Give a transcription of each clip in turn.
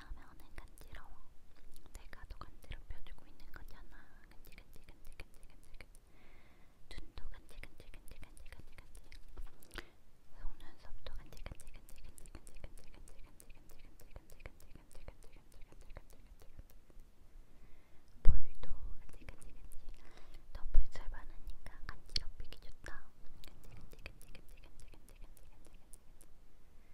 이렇게 하면은 간지러워. 내가 더 간지럽혀주고 있는 거잖아. 간지 간지 간지 간지 간지 간지. 눈도 간지 간지 간지 간지 간지 간지. 속눈썹도 간지 간지 간지 간지 간지 간지 간지 간지 간지 간지 간지 간지 간지 간지 간지 간지 간지. 볼도 간지 간지 간지. 덮을 잘 많으니까 간지럽히기 좋다. 간지 간지 간지 간지 간지 간지 간지 간지 간지.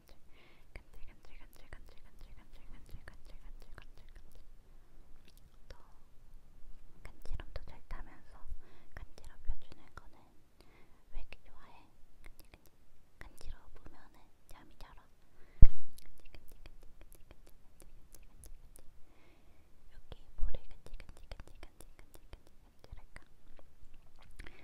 간질 간질 간질 간질 간질 간질 간질 간질 간질 간질 간질 간질 또 간지럼도 잘 타면서 간지럽혀주는 거는 왜 이렇게 좋아해? 간지러우면은 잠이 잘 와. 여기 머리 간지간지간지간지간지간지랄까?